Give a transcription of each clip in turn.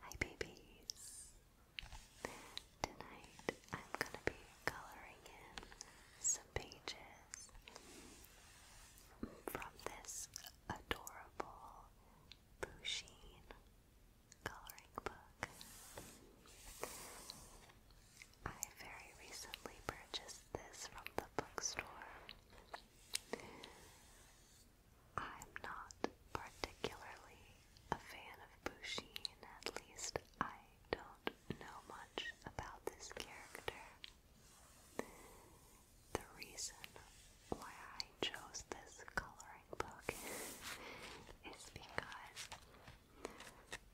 Hi babies! Tonight I'm gonna be coloring in some pages from this adorable Bouchine coloring book. I very recently purchased this from the bookstore. I'm not particularly a fan of Busheen, at least I don't know much about this character. The reason why I chose this coloring book is because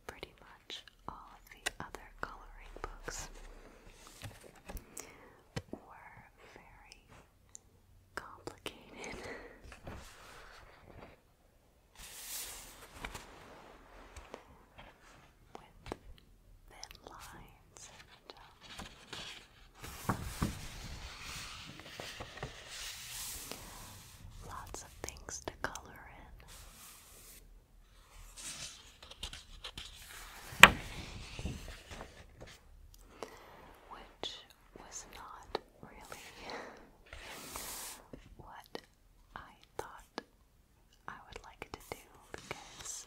pretty much all of the other coloring books were very complicated. With thin lines and lots of things to color in which was not really what I thought I would like to do because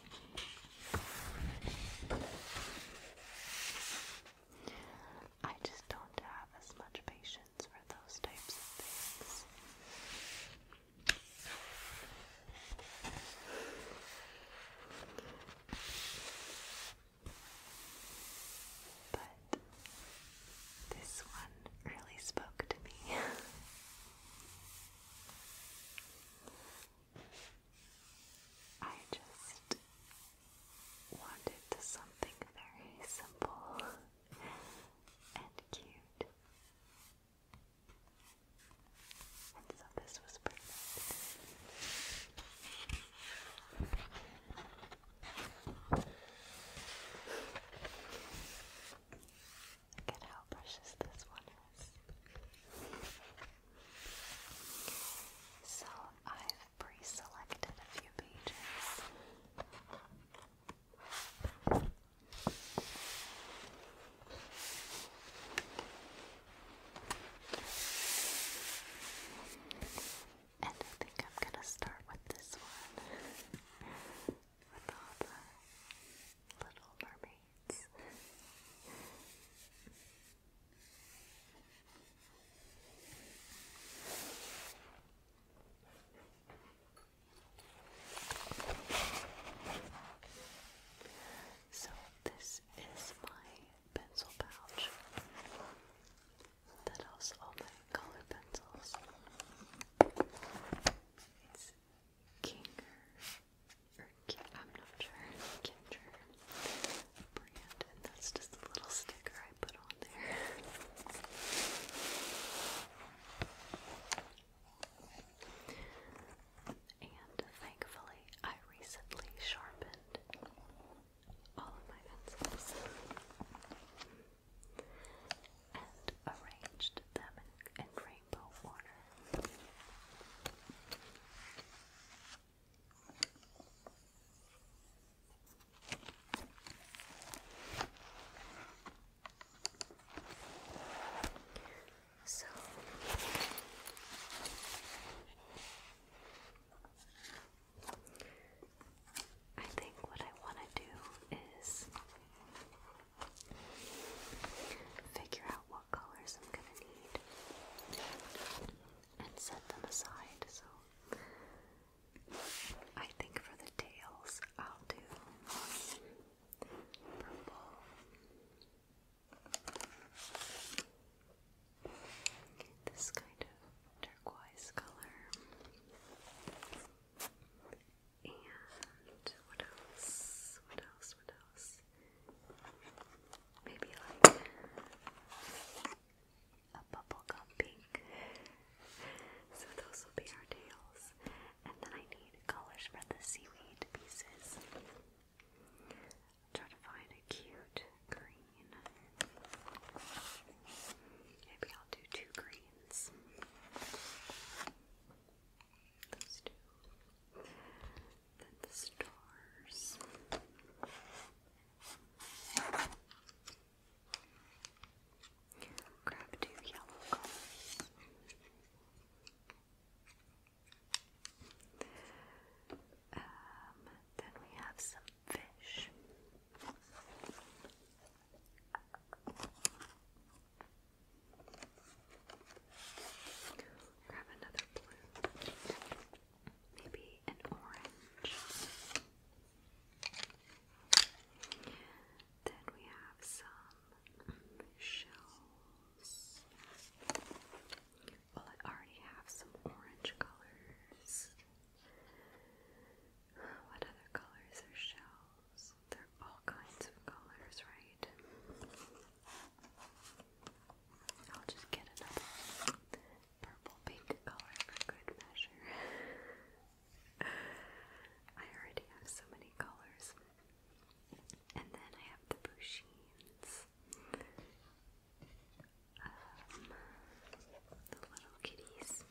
I just don't have as much patience for those types of things. But this one really spoke to me. I just wanted something very simple and cute this Look at how precious this one is. So I've pre-selected a few pages. And I think I'm gonna start with this one. with all the little mermaids. So, this is my pencil pouch that has all my color pencils. It's Kinger, or I'm not sure, Kinger brand, and that's just the little sticker I put on there and thankfully I recently sharpened all of my pencils and arranged them in, rainbow order. So, I think what I want to do is figure out what colors I'm going to need and set them aside. So I think for the tails, I'll do purple. This kind of turquoise color. And what else? What else? What else? Maybe like a bubblegum pink. So those will be our tails. And then I need colors for the seaweed pieces. I'll try to find a cute green. Maybe I'll do two greens. Those two. Then the stars. Grab two yellow colors. Um, then we have some fish. Grab another blue, maybe an orange. Then we have some shells. Well, I already have some orange colors. What other colors are shells? They're all kinds of colors, right? I'll just get another purple pink color for good measure. I already have so many colors. And then I have the Bushines. Um, the little kitties.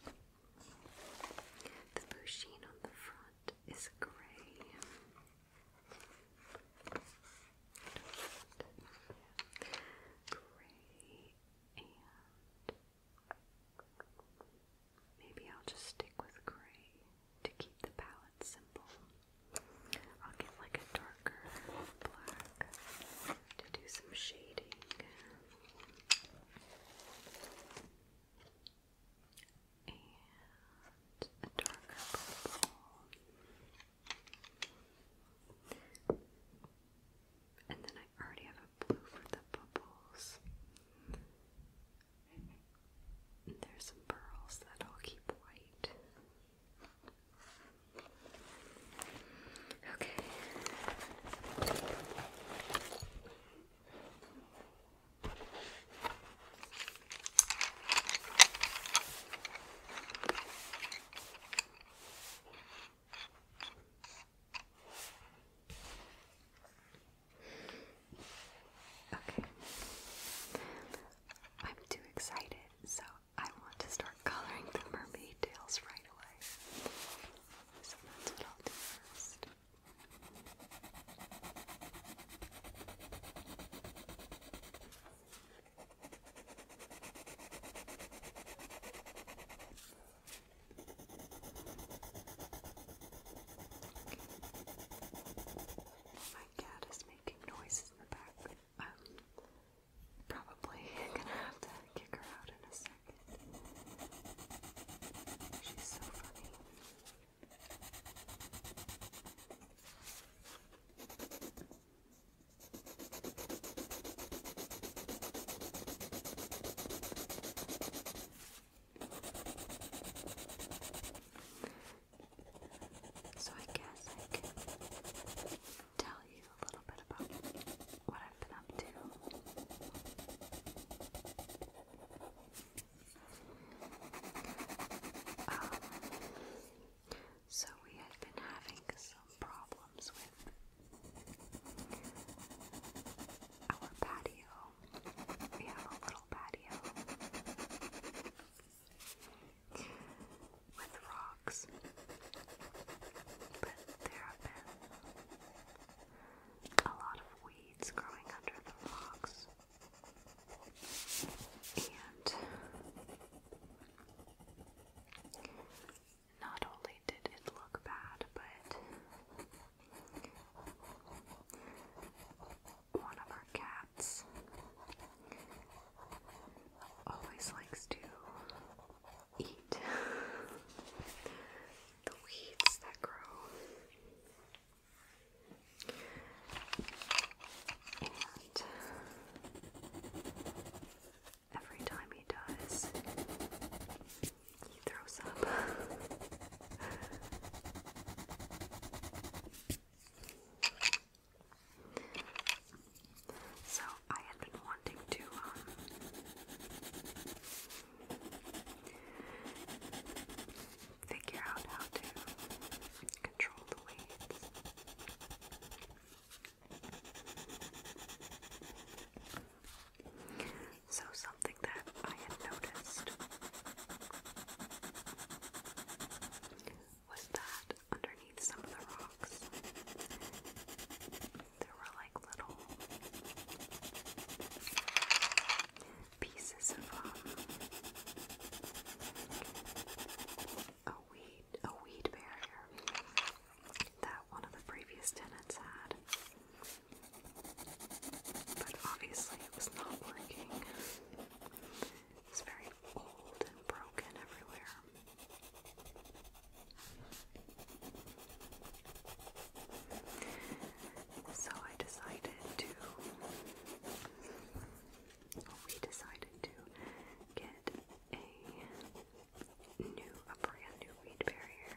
The busheen on the front is grey. Grey and maybe I'll just stick with grey to keep the palette simple. I'll get like a darker black to do some shading. And a darker purple. And then I already have a blue for the bubbles. And there's some pearls that I'll keep white. Okay. Okay. I'm too excited, so I want to start coloring the mermaid tails right away. So that's what I'll do first. My cat is making noises in the back. Um, probably gonna have to kick her out in a second. She's so funny. So I guess I tell you a little bit about what I've been up to. Um, so, we had been having some problems with our patio. We have a little patio with rocks, but there have been a lot of weeds growing under the rocks, and not only did it look bad, but one of our cats always likes to eat the weeds that grow. And every time he does, he throws up. So I had been wanting to um, figure out how to control the weights. So something that I had noticed was that underneath some of the rocks. There were like little pieces of um, a weed, a weed barrier that one of the previous tenants had. But obviously it was not working. It's very old and broken everywhere. So I decided to, we decided to get a new, a brand new weed barrier.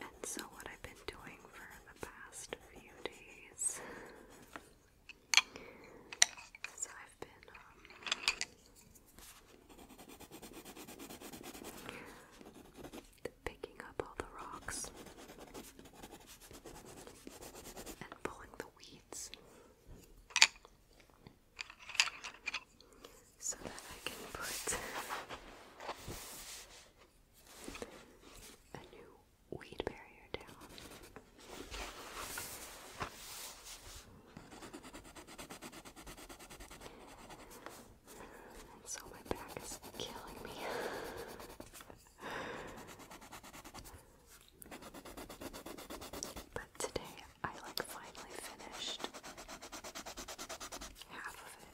And so, what I've been doing for the past few days so I've been um, picking up all the rocks and pulling the weeds so that I can put a new weed barrier down. And so my back is killing me. but today I like finally finished half of it.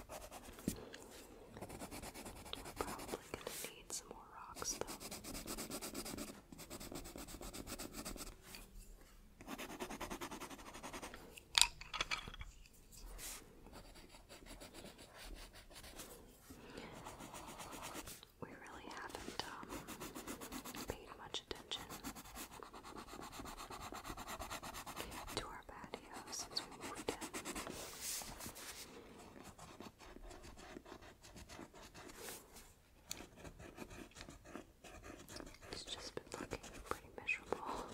We're probably gonna need some more rocks though. We really haven't um, paid much attention to our bad video since It's just been looking pretty miserable.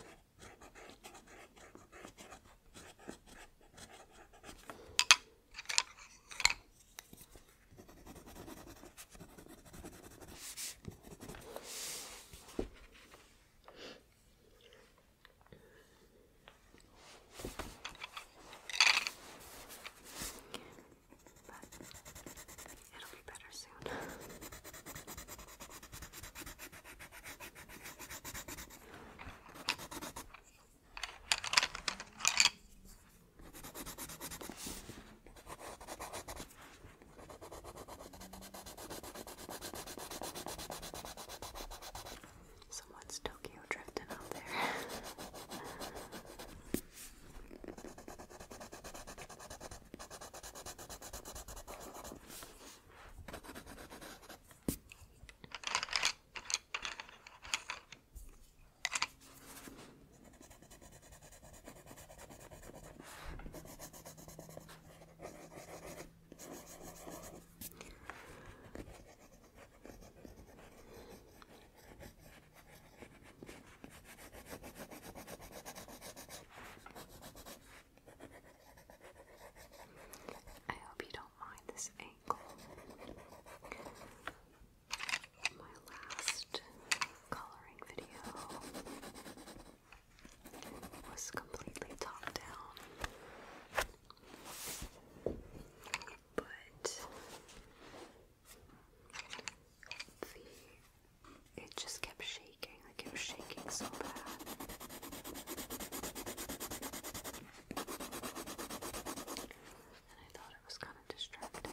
But it'll be better soon. Someone's Tokyo drifting out there. I hope you don't mind this angle. My last coloring video was completely top down. But the it just kept shaking, like it was shaking so bad. And I thought it was kind of distracting.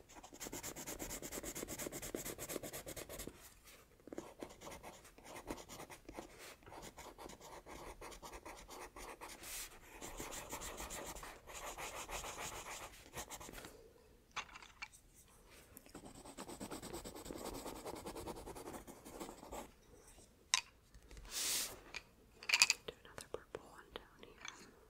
Do another purple one down here.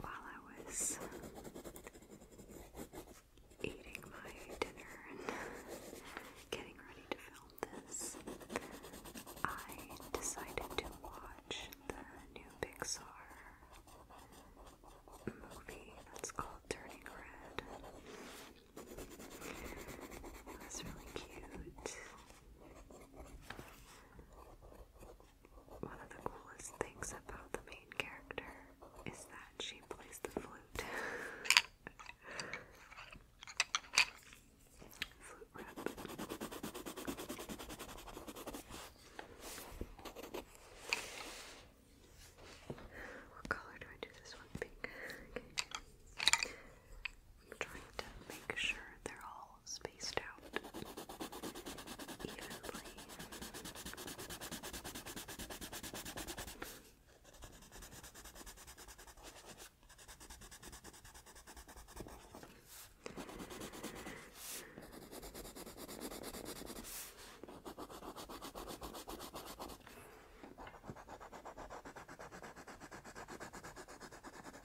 While I was eating my dinner and getting ready to film this, I decided to watch the new Pixar movie that's called Turning Red. That's really cute. One of the coolest things about the main character is that she plays the flute. flute rep. What color do I do this one? Pink. Okay. I'm trying to make sure they're all spaced out evenly.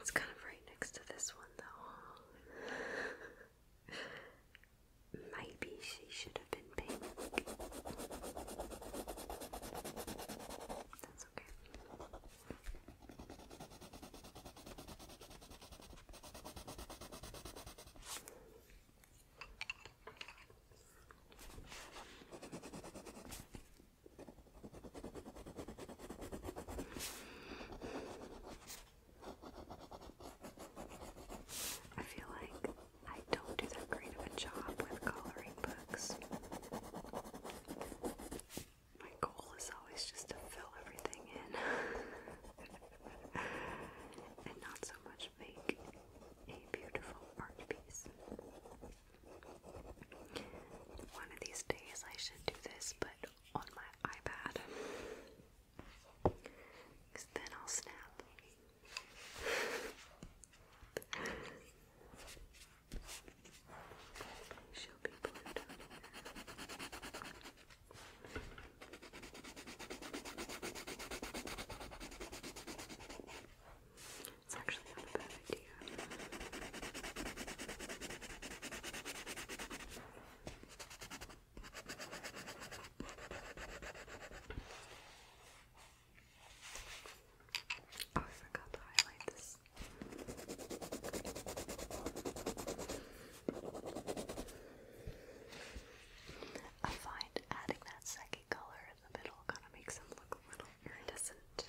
It's kind of right next to this one, though. Maybe she should have been pink. That's okay. I feel like I don't do that great of a job with coloring books. My goal is always just to fill everything in. and not so much make a beautiful art piece. One of these days I should do this, but on my iPad. Because then I'll snap. She'll be blurred it's actually not a bad idea. Oh, I forgot to highlight this. I find adding that second color in the middle kind of makes them look a little iridescent.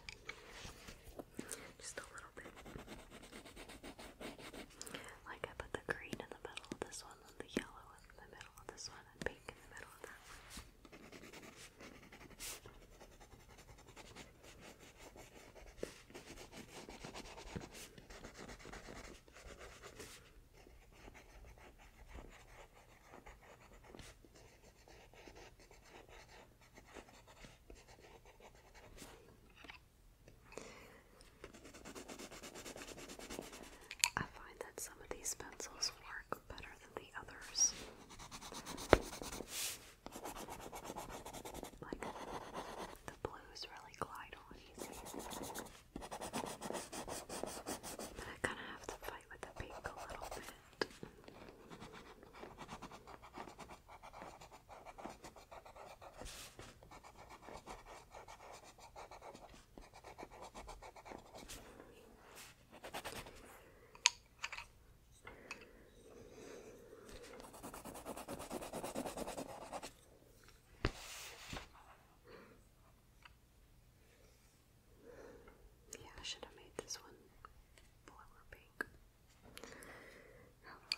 Just a little bit. Like I put the green in the middle of this one, and the yellow in the middle of this one, and pink in the middle of that I find that some of these pencils work better than the others. Like the blues really glide on easy. But I kind of have to fight with the pink a little bit. Okay. Yeah, I should have made this one blue or pink. Um,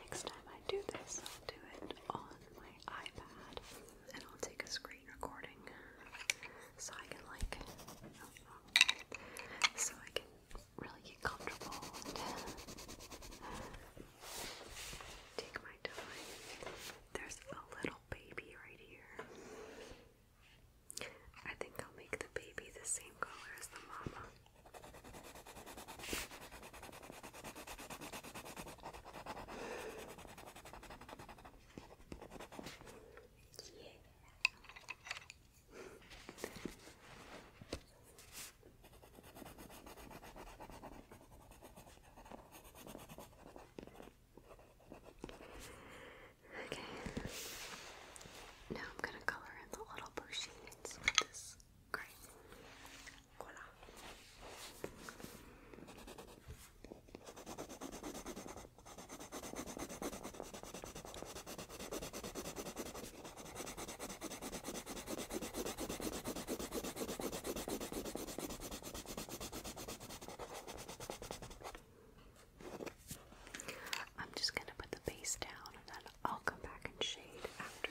Next time I do this, I'll do it on my iPad and I'll take a screen recording so I can, like, so I can really get comfortable and uh, take my there's a little baby right here. I think I'll make the baby the same color as the mama. Yeah. Okay. Now I'm going to color in the little blue shades with this gray I'm just going to put the base down and then I'll come back and shade after.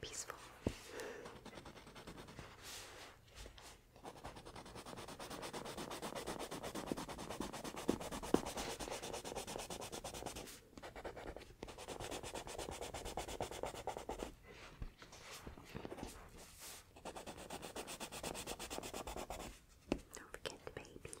peaceful. Don't forget the baby.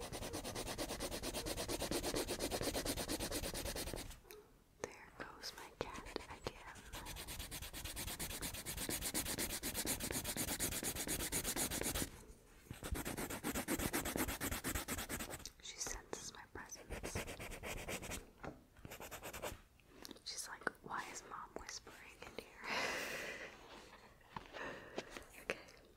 There goes my cat again. She senses my presence. She's like, why is mom whispering in here? okay.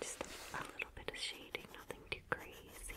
Just a little bit of shading, nothing too crazy.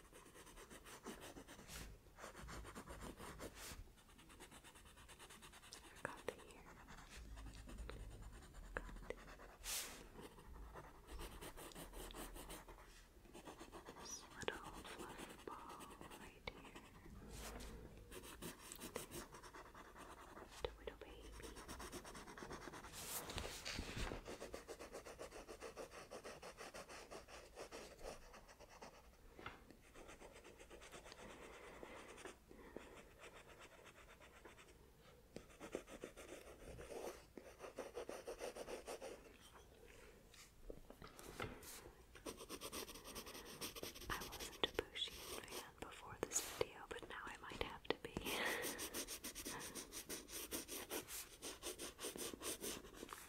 Got to hear. Got to. This little fluff ball right here. Tomato baby. Tomato baby. I wasn't a Bushian fan before this video, but now I might have to be.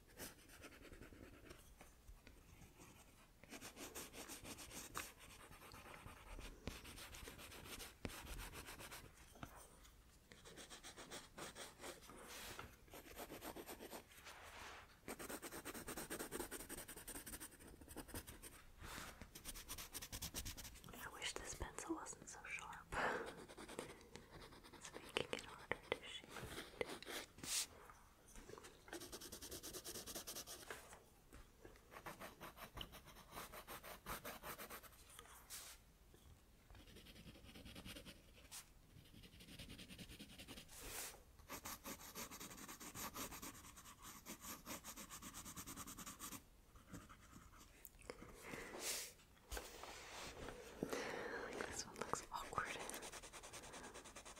I wish this pencil wasn't so sharp. it's making it harder to shape. Like this one looks awkward.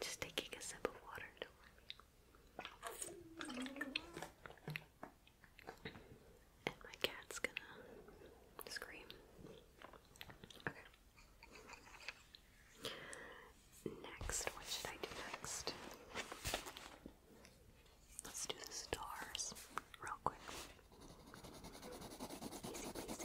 Just taking a sip of water And my cat's gonna scream. Okay. Next, what should I do next? Let's do the stars real quick. Easy peasy.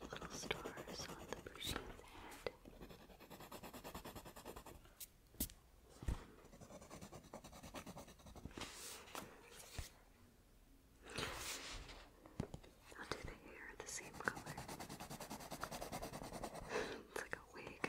Little stars on the person's head. I'll do the hair the same color. It's like a wig.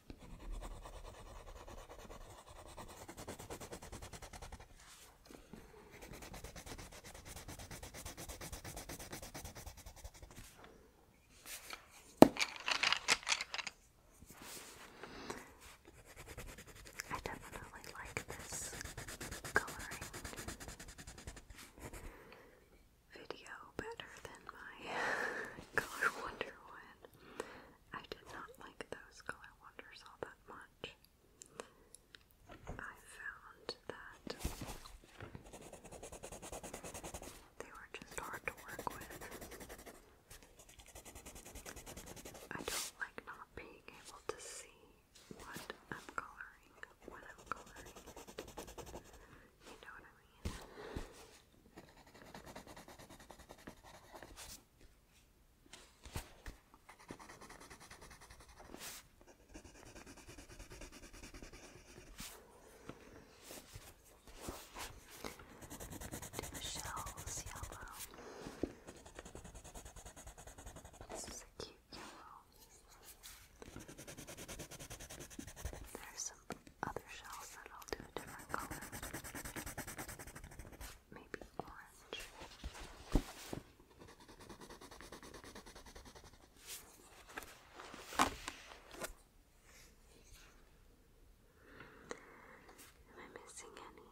I definitely like this coloring video better than my color wonder one. I did not like those color wonders all that much. I found that they were just hard to work with. I don't like not being able to see what I'm coloring when coloring You know what I mean? Two shells yellow. This is a cute yellow. There's some other shells that all do a different color maybe orange. Am I missing any?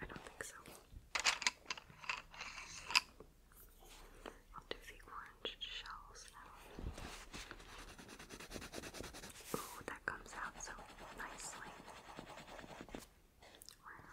I don't think so. I'll do the orange shells now. Ooh, that comes out so nicely. Wow.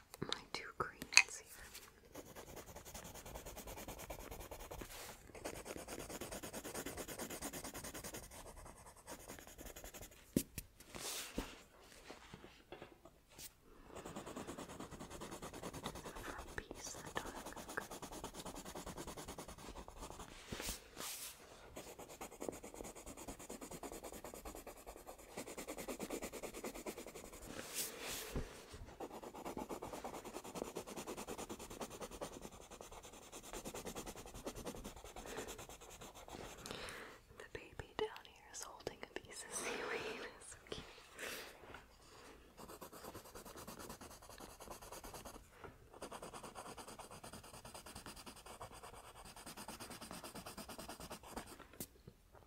my two greens here. For a piece of the baby down here is holding a piece of seaweed. It's so cute that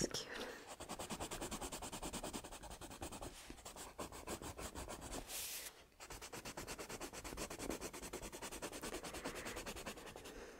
looks cute.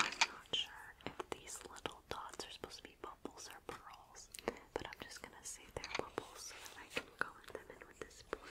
I'm not sure if these little dots are supposed to be bubbles or pearls, but I'm just gonna say they're bubbles so that I can color them in with this blue.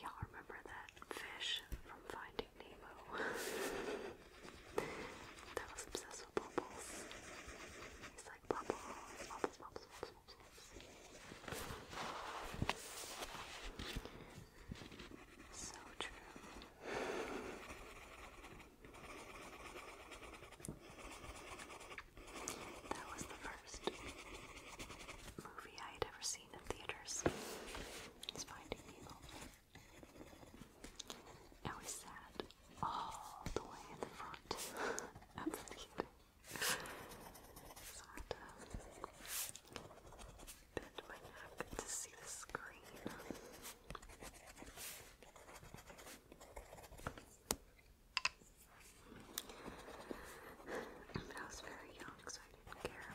Y'all remember that fish from Finding Nemo? that was obsessed with bubbles. He's like bubbles, bubbles, bubbles, bubbles, bubbles. So true. That was the first movie I had ever seen in theaters. It's Finding Nemo. I was sad all the way in the front of the theater. So I to see the screen. But I was very young, so I didn't care.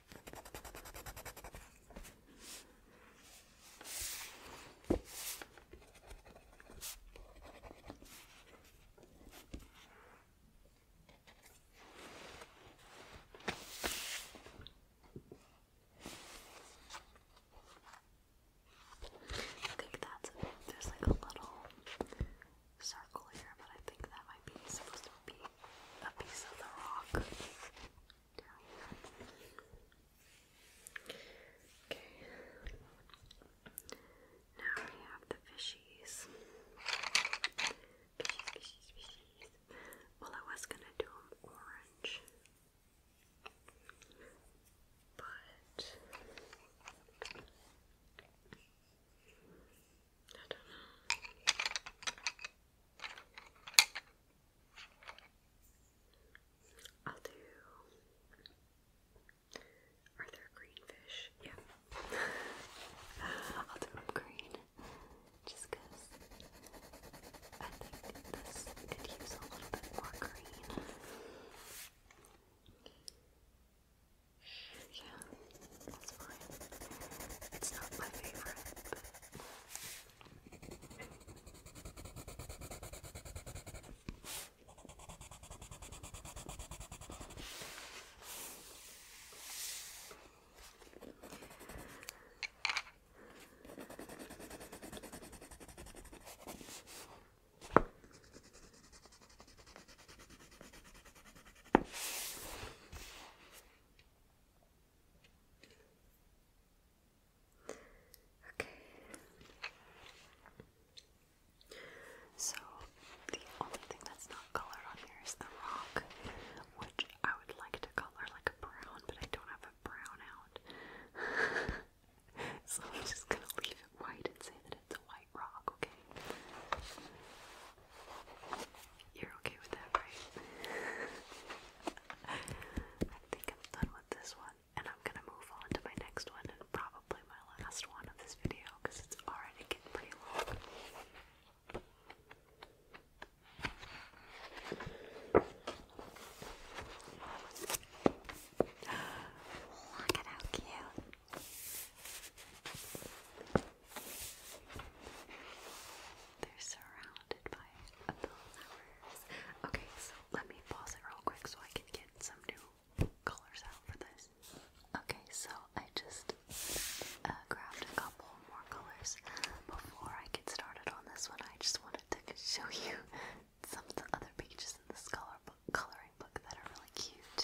I think that's There's like a little circle here, but I think that might be supposed to be a piece of the rock Okay. Now we have the fishies. Well, I was gonna do them orange, but I don't know. I'll do. Are there green fish? Yeah. I'll do them green. Just because I think this could use a little bit more green. Yeah. That's fine. It's not my favorite, Okay. So the only thing that's not colored on here is the rock, which I would like to color like a brown, but I don't have a brown out. so I'm just gonna leave it white and say that it's a white rock, okay? You're okay with that, right? I think I'm done with this one, and I'm gonna move on to my next one and probably my last one of this video because it's already getting pretty long. Look at how cute. They're surrounded by flowers. Okay, so let me pause it real quick so I can get some new colors out for this. Okay, so I just uh, grabbed a couple more colors. Before I get started on this one, I just wanted to show you some of the other pages in the scholar book, coloring book that are really cute.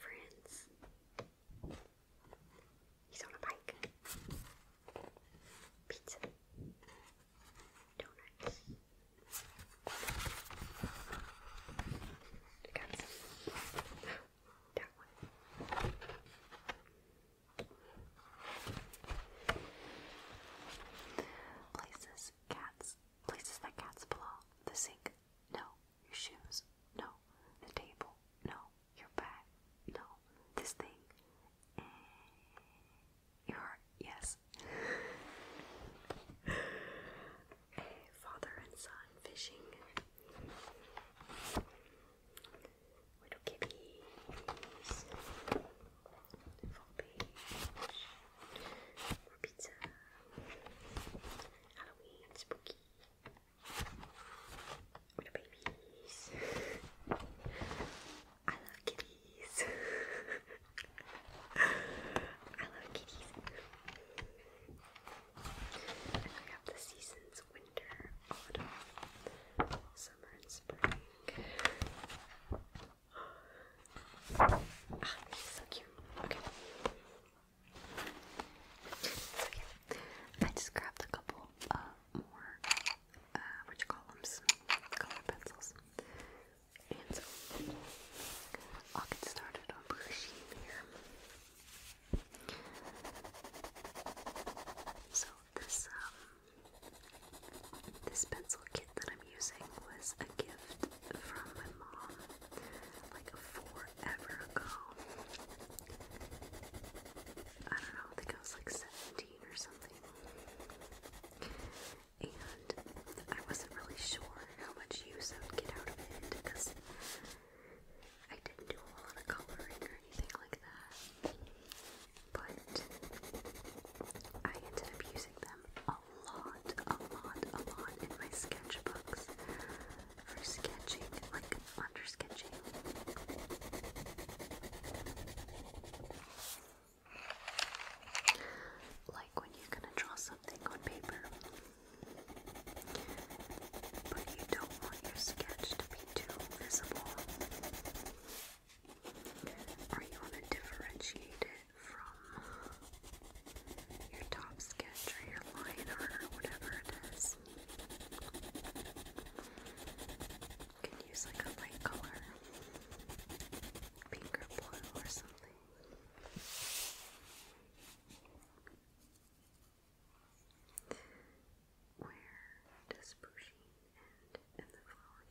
Friends. He's on a bike. Pizza. Donuts. I got some. that one. Places cats Places that cats belong. The sink. No. Your shoes. No. The table. No. Your bag. No. This thing. Eh, your Yes. A father and son fishing. Little kitties for beach, for pizza, Halloween, spooky, for babies. I love kitties. I love kitties. we have the seasons winter, autumn, summer, and spring. Ah, he's so cute. Okay. So yeah, I just grabbed a couple uh, more, uh, what you call them, color pencils. And I'll get started on brushing here. So this um this pencil that I'm using was a gift from my mom like forever ago. I don't know, I think I was like 17 or something. And I wasn't really sure how much use I would get out of it because I didn't do a lot of coloring or anything like that. But I ended up using them a a lot, a lot, a lot in my sketchbooks for sketching, like under sketching. Like when you're gonna draw something on paper, but you don't want your sketch to be too visible, or you want to differentiate it from your top sketch or your line art or whatever it is. can use like a light color, pink or blue or something. Where does pushing end and the flower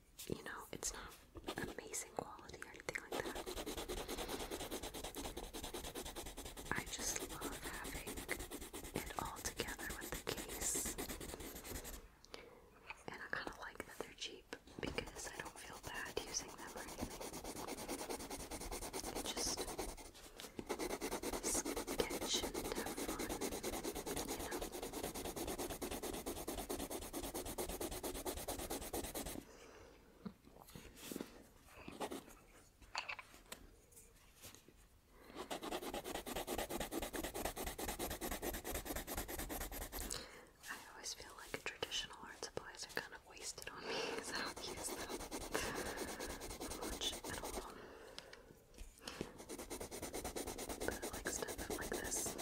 you know, it's not amazing quality or anything like that. I just love having it all together with the case. And I kind of like that they're cheap because I don't feel bad using them or anything. It just sketch and have fun, you know. I always feel like traditional art supplies are kind of wasted on me because I don't use them much at But I like stuff like this.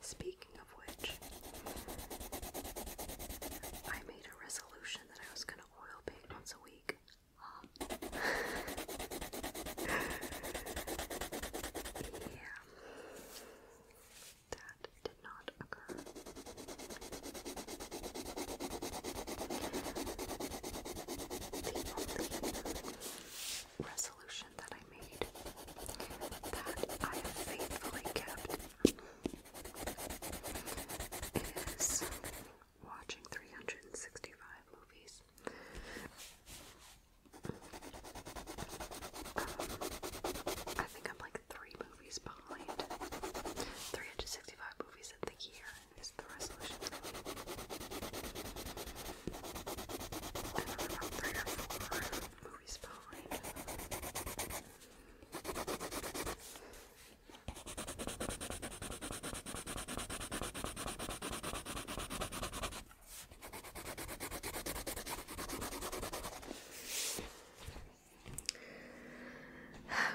Speaking of which, I made a resolution that I was gonna oil paint once a week. yeah. That did not occur. resolution that I made that I have faithfully kept is watching 365 movies. Um, I think I'm like three movies behind. 365 movies in the year is the resolution. I don't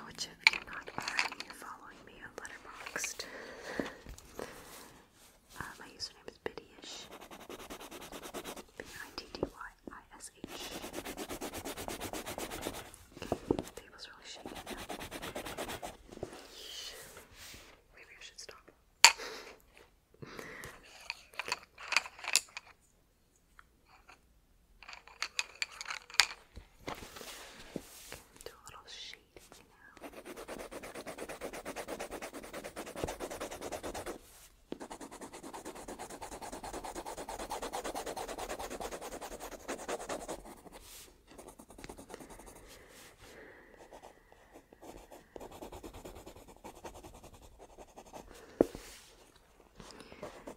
Which, if you're not already following me on Letterboxd, uh, my username is Biddyish. B-I-T-D-Y-I-S-H. table's really shaking Maybe I should stop. do a little shake shade for I'm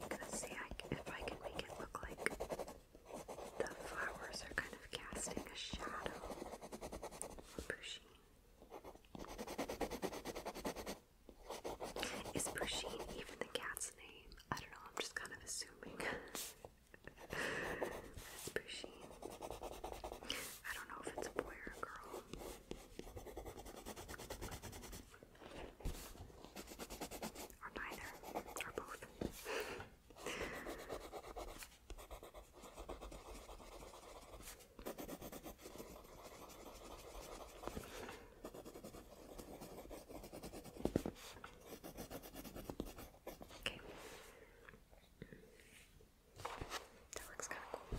gonna see if I can make it look like the flowers are kind of casting a shadow, pushing is Pershing even the cat's name? I don't know, I'm just kind of assuming. That's Pershing. I don't know if it's a boy or a girl. Or neither. Or both. Okay. That looks kind of cool.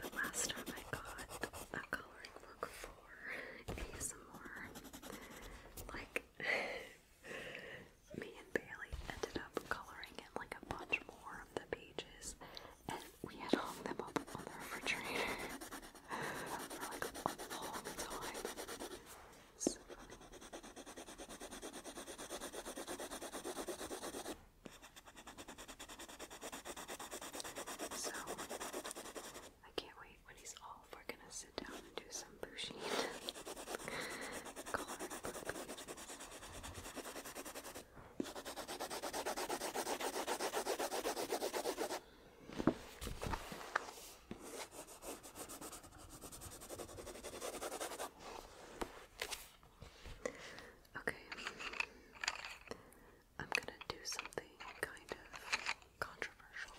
But last time I got a coloring book for ASMR. Like, me and Bailey ended up coloring like a bunch more of the pages, and we had hung them up on the refrigerator for like a long time. So, I can't wait when he's all. We're gonna sit down and do some bushing. Okay. I'm gonna do something kind of controversial.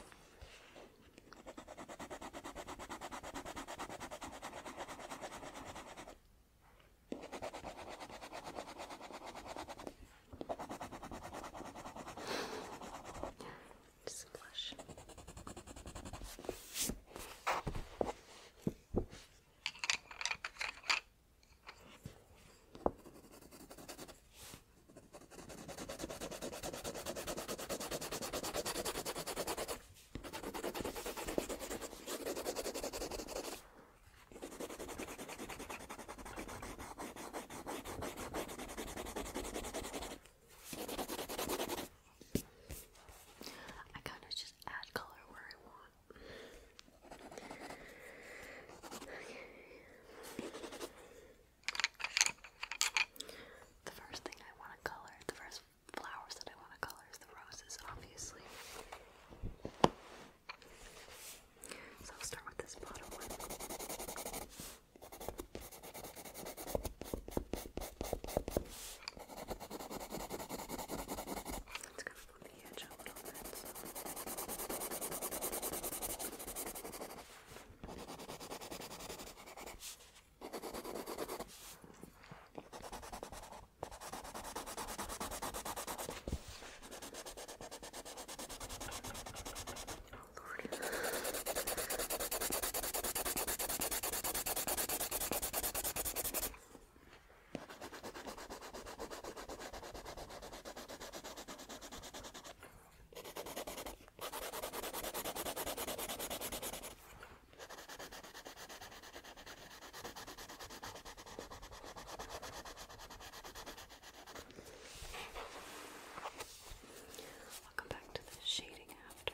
Just blush. I kind of just add color where I want. The first thing I want to color, the first flowers that I want to color is the roses, obviously. So I'll start with this bottom one. It's gonna from the edge a little bit. Oh, Lord. I'll come back to the shading after.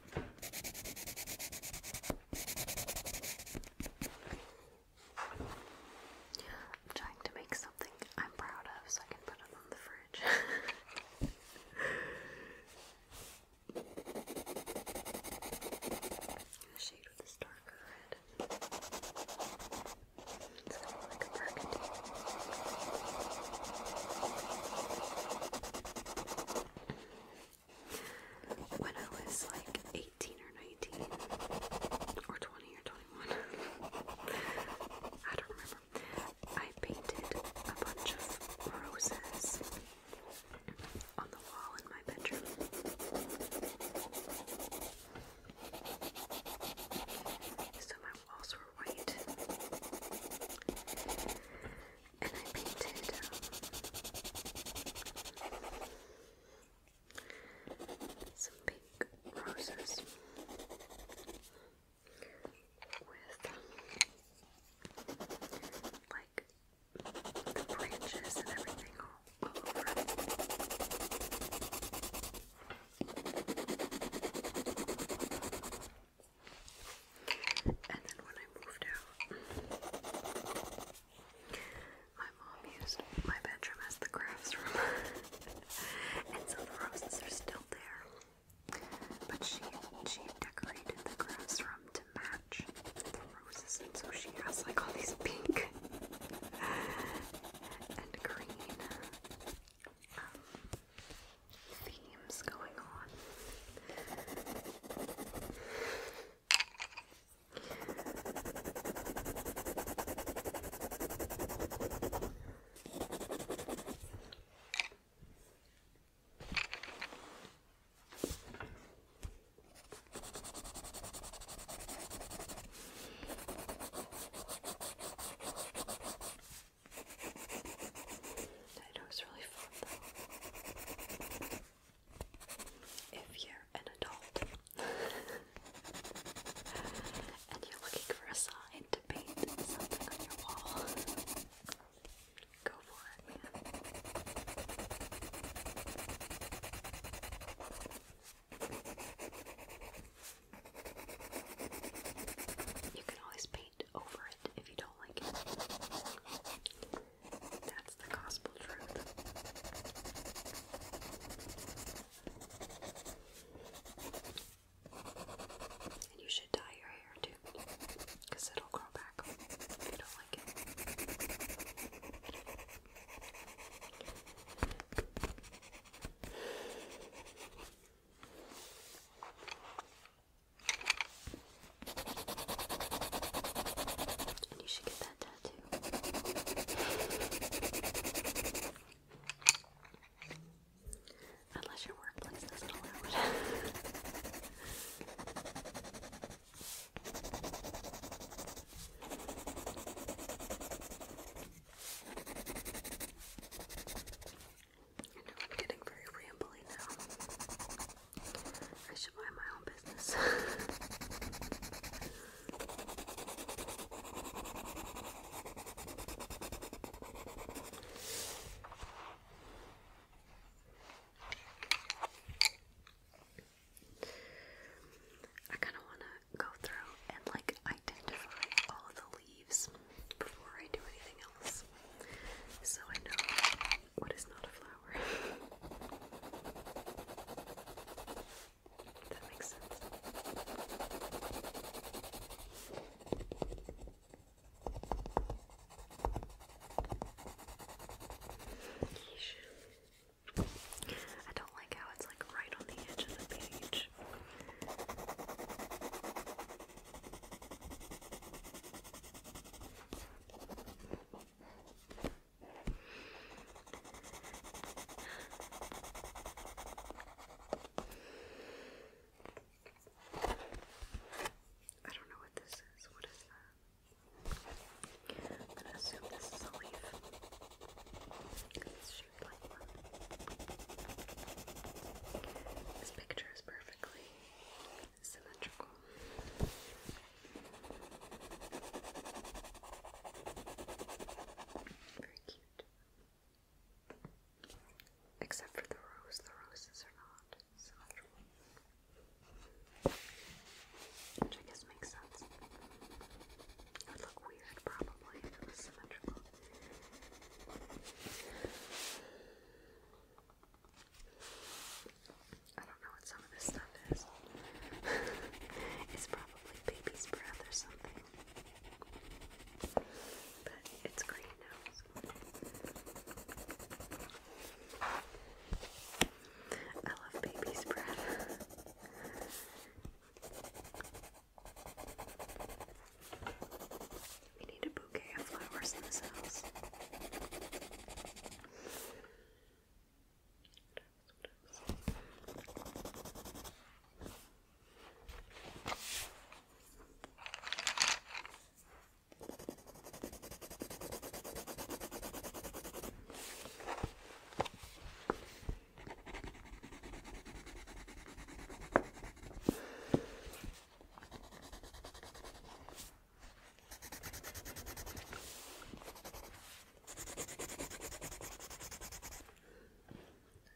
I'm trying to make something I'm proud of so I can put it on the fridge. the shade with this darker red. It's kind of like a burgundy when I was like 18 or 19 or 20 or 21. I don't remember. I painted a bunch of roses on the wall in my bedroom. So my walls were white and I painted some pink roses with like the branches and everything all over. And then when I moved out, my mom used my bedroom as the crafts room. and so the roses are still there. But she she decorated the crafts room to match the roses and so she has like all these pink and green um, themes going on. I know it's really fun though. If you're an adult and you're looking for a sign to paint something on your wall, go for it, You can always paint over it if you don't like it. That's the gospel truth. And you should dye your hair too, because it'll grow back if you don't like it. And you Unless your workplace doesn't allow it. I am getting very rambly now. I should mind my own business. I kind of want to go through and like identify all of the leaves before I do anything else. So I know what is not a flower. that makes sense. I don't like how it's like right on the edge of the page. I don't know what this is. What is that? I'm gonna assume this is a leaf. It's shaped like This picture is perfectly cylindrical. Very cute. Except for the rose, the roses are not cylindrical. Which I guess makes sense. It would look weird probably if it was symmetrical. I don't know what some of this stuff is. it's probably baby's breath or something. But it's green now. I love baby's breath. We need a bouquet of flowers in this house.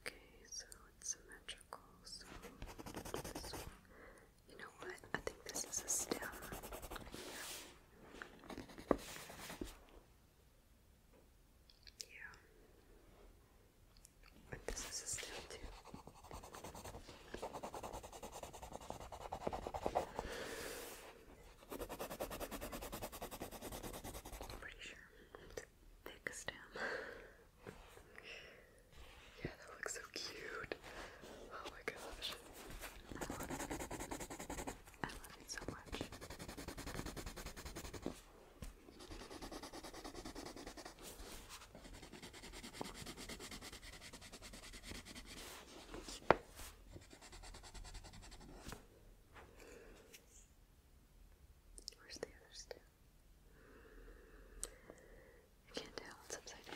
Okay, so it's symmetrical, so You know what? I think this is a stem. Yeah. This is still too. pretty sure thick stem. yeah, that looks so cute. Oh my gosh. I love it. I love it so much. Where's the other step? I can't tell, it's upside down.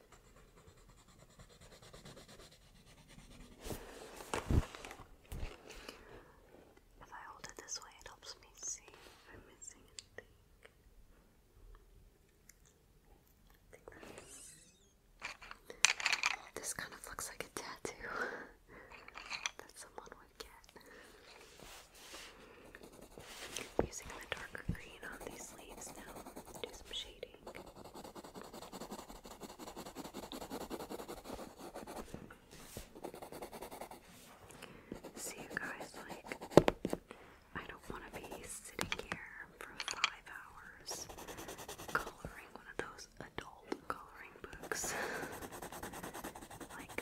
If I hold it this way, it helps me see if I'm missing anything. This kind of looks like a tattoo that someone would get. using the darker green on these leaves now do some shading reading. See you guys like I don't want to be sitting here for five hours coloring one of those adult coloring books. like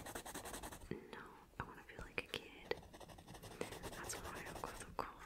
no, I want to feel like a kid. That's why I'm going to call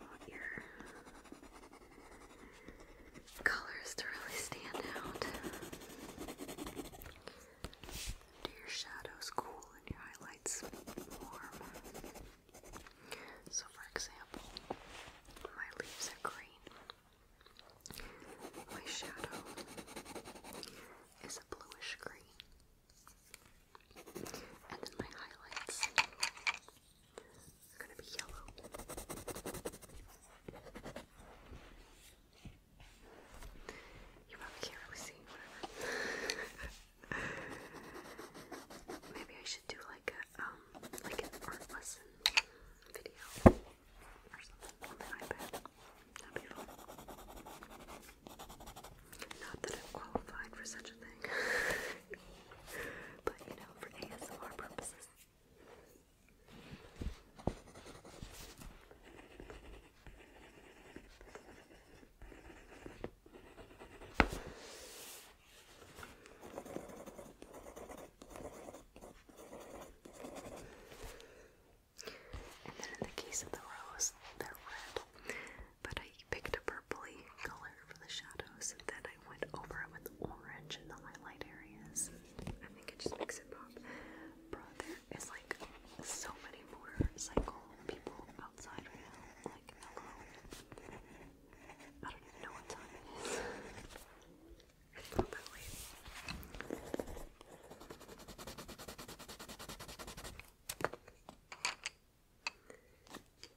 want your colors to really stand out. Do your shadows cool and your highlights warm. So, for example, my leaves are green, my shadow is a bluish green. And then my highlights it's gonna be yellow. You probably can't really see, Maybe I should do like a um, like an art lesson video or something on the iPad. That'd be fun. Not that I'm qualified for such a thing. but you know, for ASMR purposes. And then in the case of the rose, they're red, but I picked a purpley color for the shadows, and then I went over it with orange in the highlight areas. I think it just makes it pop. there is like so many motorcycle people outside right now. Like, hello. I don't even know what time it is.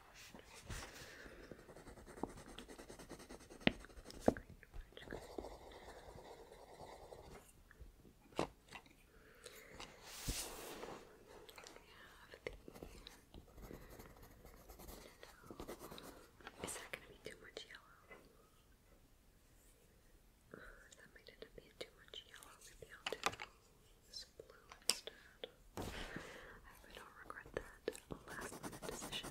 Is that going to be too much yellow? that might end up being too much yellow. Maybe i do this blue instead. I really don't regret that last decision.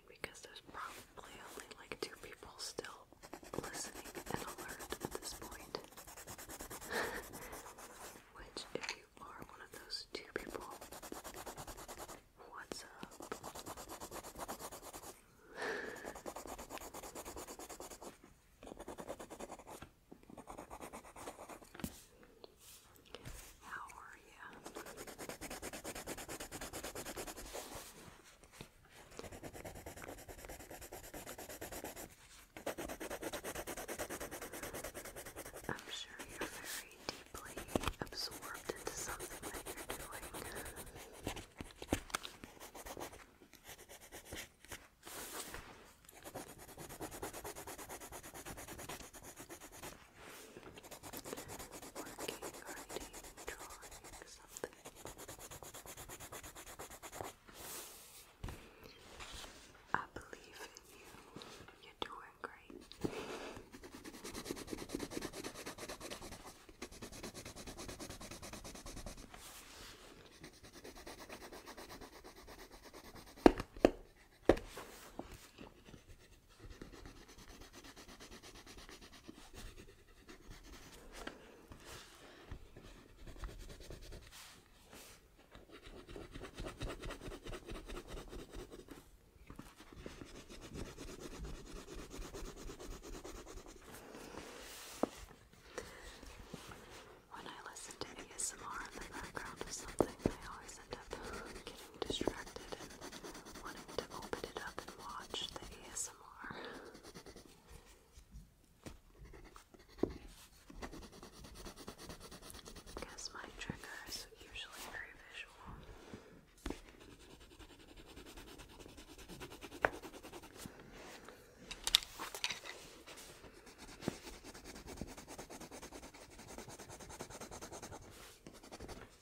because there's probably only like two people still listening and alert at this point. Which, if you are one of those two people, what's up? How are yeah. I'm sure you're very deeply absorbed into something that you're doing working, writing, drawing, something. I believe in you. You're doing great. When I listen to ASMR in the background of something, I always end up getting distracted and wanting to open it up and watch the ASMR. Because my usually very visual.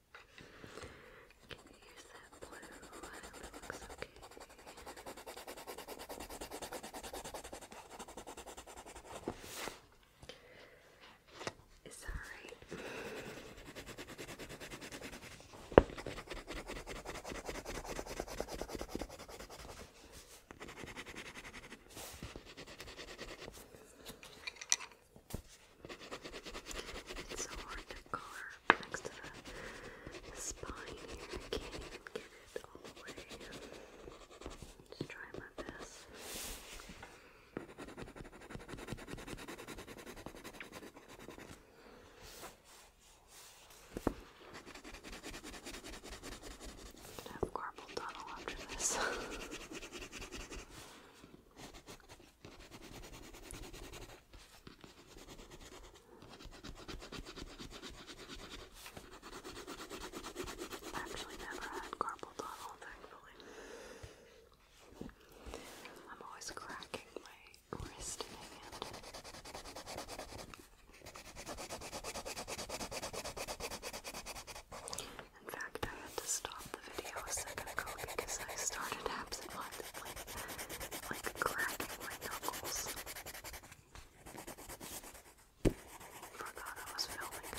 Can you use that blue? I hope it looks okay. It's alright. Okay. It's so hard to color next to the spine here. I can't even get it all the way. Just try my best. I'm gonna after this. I've actually never had carpal tunnel, thankfully. I'm always cracking my wrist and hand. In fact, I had to stop the video a second ago because I started absentmindedly, like cracking my knuckles. Forgot I was filming.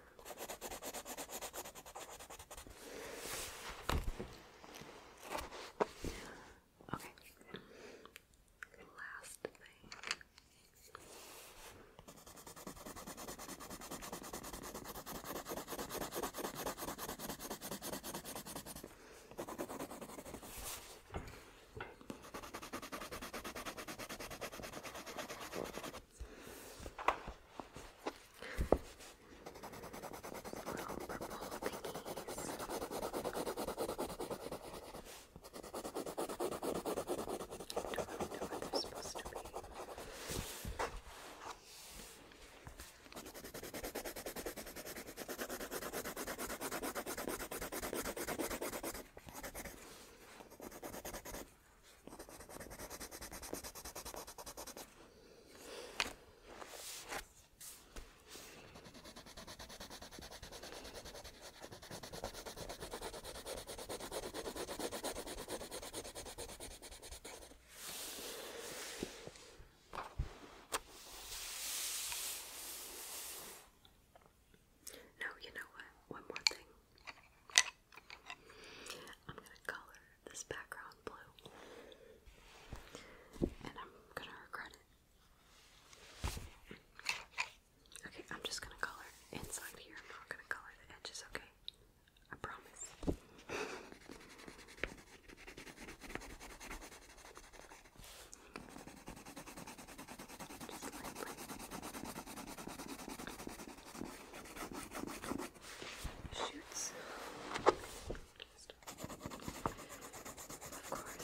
Okay. Last thing. Okay. Little purple thingies. I don't really know what they're supposed to be. I no, you know what? One more thing. I'm gonna color this background blue. And I'm gonna regret it. Okay, I'm just gonna color inside here. I'm not gonna color the edges, okay? I promise. Just lightly shoots. Of course.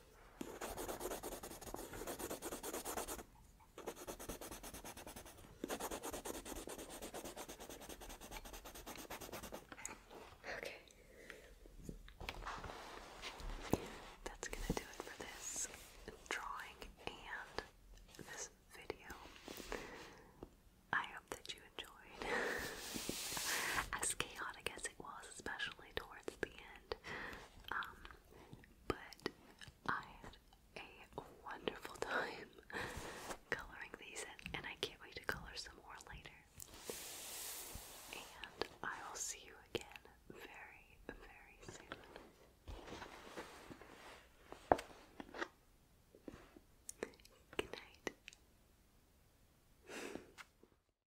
Okay. That's going to do it for this drawing and this video. I hope that you enjoyed. as chaotic as it was, especially towards the end. Um, but I had a wonderful time coloring these and I can't wait to color some more later. And I will see you again very, very soon. Good night.